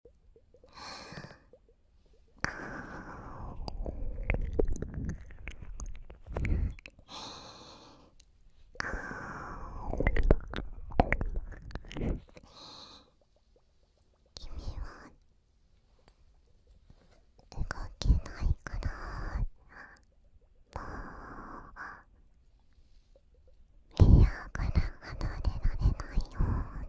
君は動けないからもう部屋から離れられないように…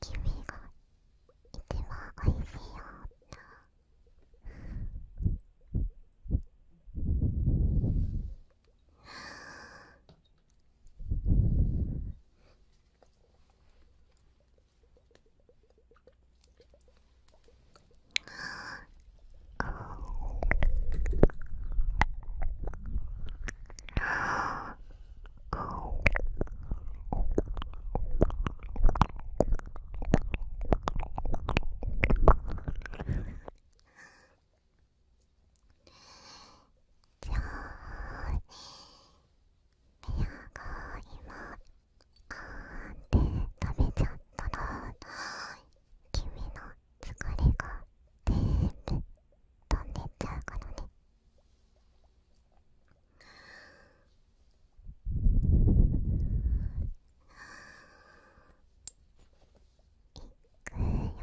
君が一番おいしいった。じゃあ部屋が今あーって食べちゃったら君の疲れが全部飛んでっちゃうからねいくよ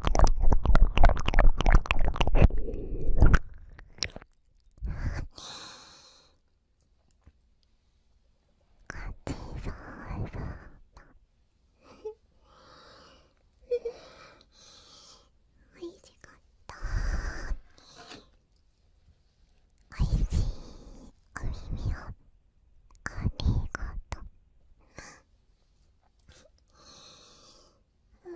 おいしかったおいしいお耳をありがとう。うん…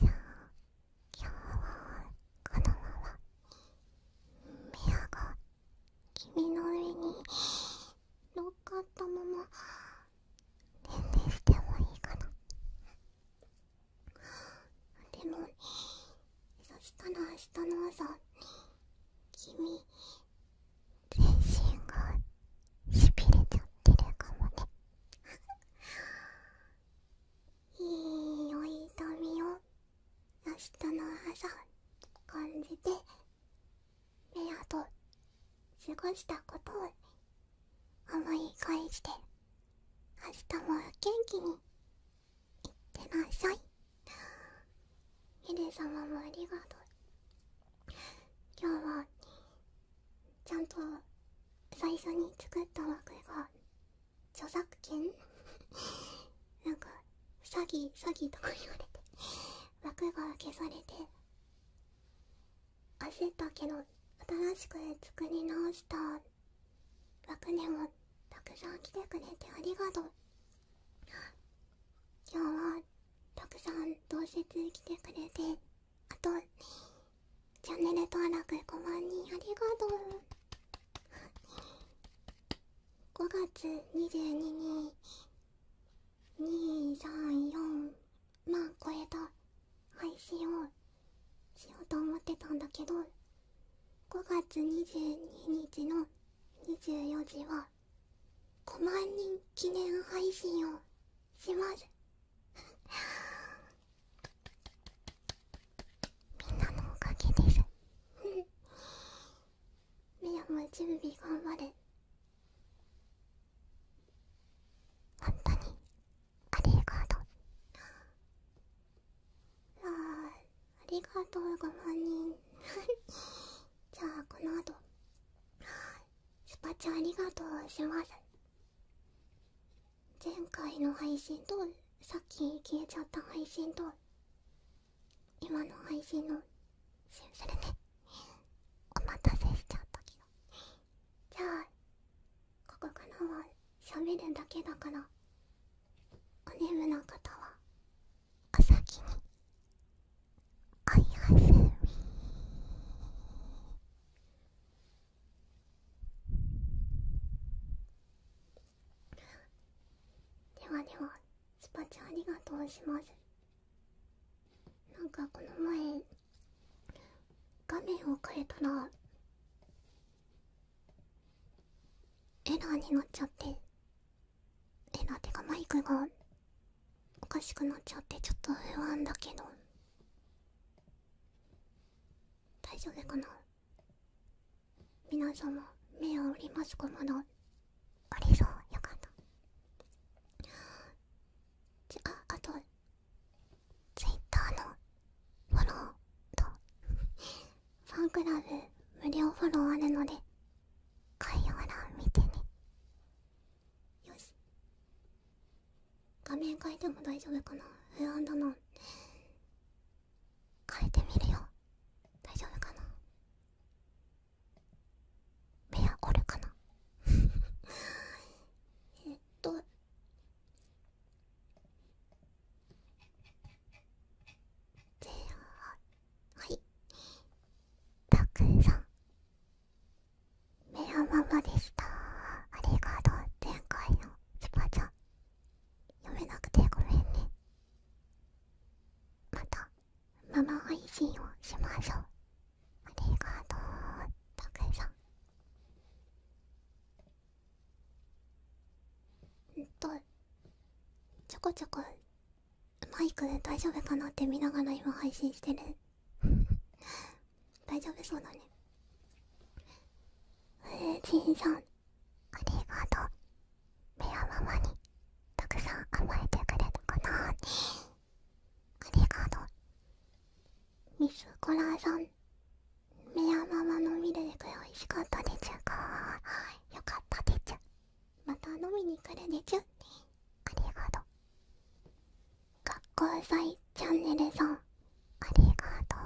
じゃあ、今日はこのままミヤが君の上に乗っかったまま寝てしてもいいかなでもそしたら明日の朝君全身がしびれちゃってるかもねいいお痛みを明日の朝感じてメアと過ごしたことを思い返して明日も元気にいってなさいヒデ様もありがとう今日はちゃんと最初に作った枠が著作権 なんか詐欺詐欺とか言われて枠が消されて焦ったけど新しく作り直した枠にもたくさん来てくれてありがとう今日はたくさんどうせつ来てくれてあとチャンネル登録5万人ありがとう5月22に234万超えた配信をしようと思ってたんだけど5月22日の24時は5万人記念配信をします。みんなのおかげです。みやも準備頑張れ。本当にありがとう。あありがとう5万人じゃあこの後スパチャありがとうします前回の配信とさっき消えちゃった配信と今の配信のシンプルねお待たせしちゃったけどじゃあここからは喋るだけだからおねむな方はお先にいやすみではではスパチャありがとうしますなんかこの前画面を変えたらエラーになっちゃってえなてかマイクがおかしくなっちゃってちょっと不安だけど大丈夫かな皆様目をおりますかまありそうよかったじゃああとツイッターのフォローとファンクラブ無料フォローあるので概要欄見てねよし画面変えても大丈夫かな不安だな変えてみるよ大丈夫かな目はおるかな えっと前半はいたくさんメロママでしたありがとう前回のスパチャ。読めなくてごめんねまたママ配信をしましょうありがとうたくさんうんとちょこちょこマイクで大丈夫かなって見ながら今配信してる 大丈夫そうだねえー、ジさんありがとうメアママにたくさん甘えてくれたかなありがとうミスコラさんメアママのミルでク美味しかったでちゅかよかったでちゅまた飲みに来るでちゅねありがとう学校祭チャンネルさんありがとう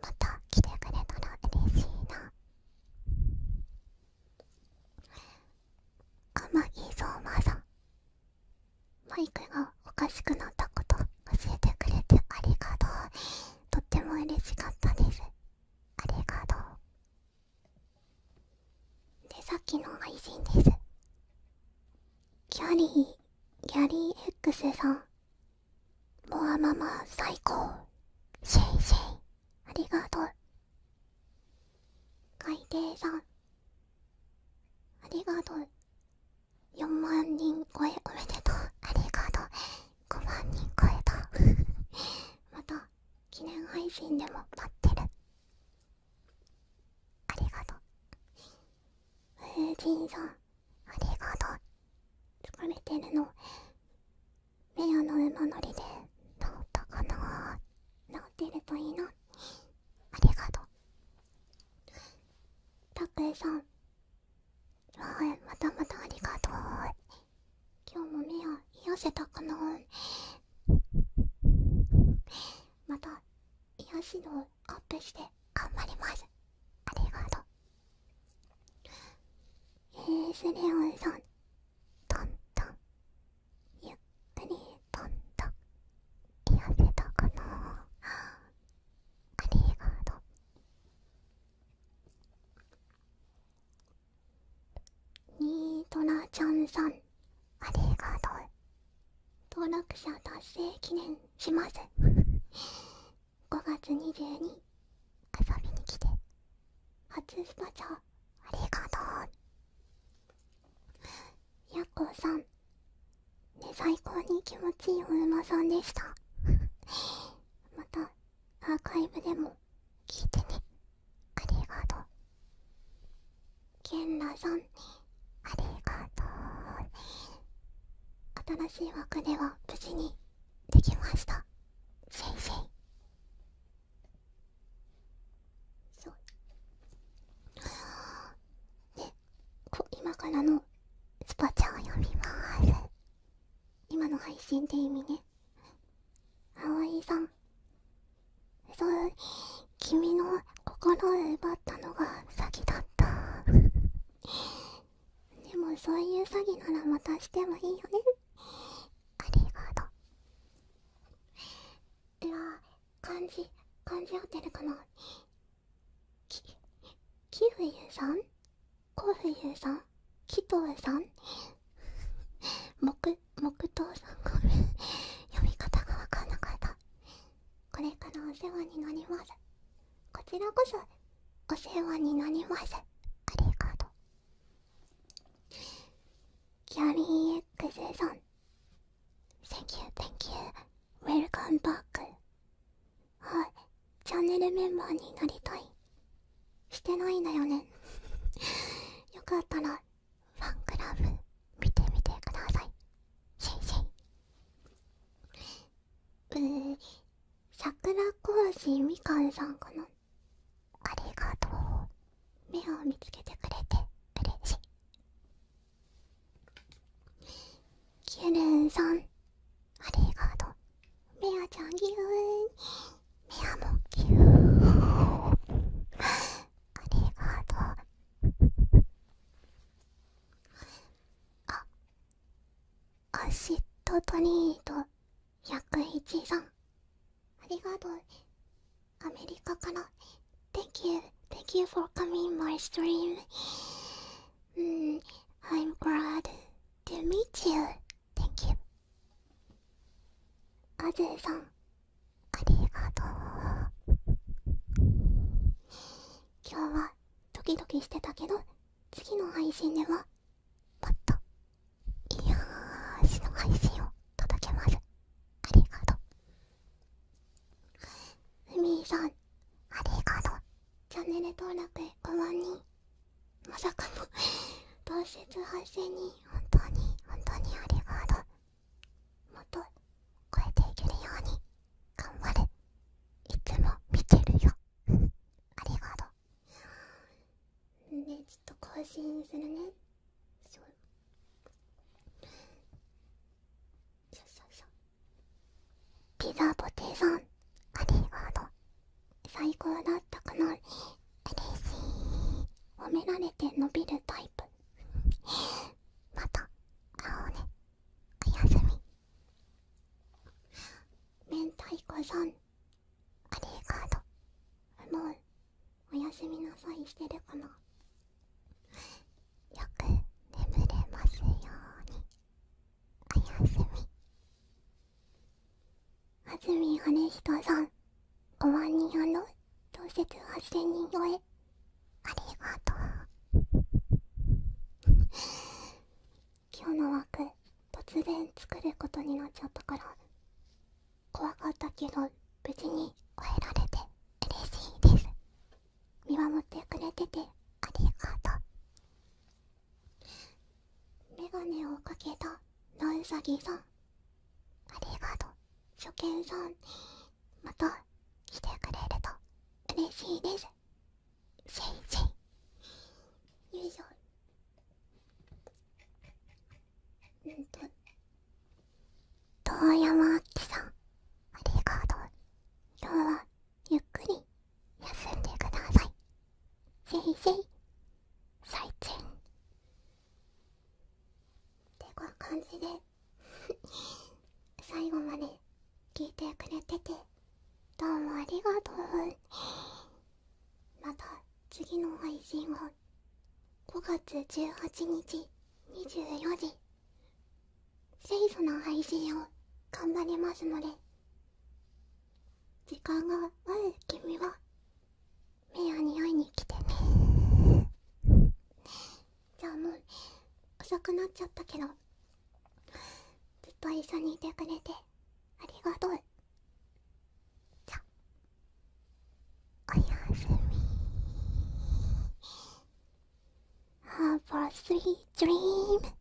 また来てくれたら嬉しいな天木相馬さんマイクがおかしくなったこと教えてくれてありがとうとっても嬉しかったですありがとうでさっきの配信ですキャリーギャリー X さんボアママ最高シェイシェイありがとう海底さんありがとう4万人超えおめでとうありがとう5万人超えた また記念配信でも買ってるありがとうえー、さんありがとう疲れてるのメアの馬乗りで治ったかな治ってるといいなありがとうたくえさんはいまたまたありがとう今日も目を癒せたかなまた癒し度アップして頑張りますありがとうえー、スレオンさんトんトん、ゆっくりトんトん、癒せたかなありがとうニートラちゃんさんありがとう登録者達成記念します5 月22日遊びに来て初スパチャありがとうやっこさん最高に気持ちいいお馬さんでした またアーカイブでも聞いてねありがとう新しい枠では無事にできましたシェ今からのスパチャを読みます今の配信って意味ね葵さんそう君の心を奪ったのが詐欺だった でもそういう詐欺ならまたしてもいいよねありがとうでは、漢字漢字合ってるかなきキウユさんコフユさんキ頭さん木木頭さんごめ読み方がわかんなかったこれからお世話になりますこちらこそお世話になりますありがとうキャリー X さん Thank you, thank you. Welcome back. はい、チャンネルメンバーになりたい。してないんだよね よかったらファンクラブ見てみてくださいシェイシェイうー桜小路みかんさんかなありがとう目を見つけてくれて嬉しいキュルンさんありがとう目はちゃんぎゅー目はもぎゅーありがとうあアシッドトリート101さんありがとうアメリカから Thank you Thank you for coming my stream mm, I'm glad to meet you Thank you アゼーさんありがとう今日はドキドキしてたけど次の配信ではもっといやーしの配信を届けますありがとうふみさんありがとうチャンネル登録5まに…まさかの同説発生に本当に本当にありがとうもっと超えていけるように頑張るいつも見てるよありがとうねちょっと更新するねそうそうそうピザポテさんありがとう最高だったかな嬉しい褒められて伸びるタイプまた青ねおやすみ明太子さんありがード。もうおやすみなさいしてるかなよく眠れますようにおやすみ安住羽人さん5万人あの同設8000人超えありがとう今日の枠突然作ることになっちゃったから怖かったけど無事に終えられて嬉しいです見守ってくれててありがとうメガネをかけたなうさぎさんありがとう初見さんまた来てくれると嬉しいですせいイい。よいしょうんと遠山あきさんありがとう今日はゆっくり休んでくださいせいせい最近って感じで最後まで聞いてくれててどうもありがとうまた次の配信は5月18日24時清楚な配信を頑張りますので時間がある君は目アに会いに来てねじゃあもう遅くなっちゃったけどずっと一緒にいてくれてありがとうじゃおやすみ Have a sweet dream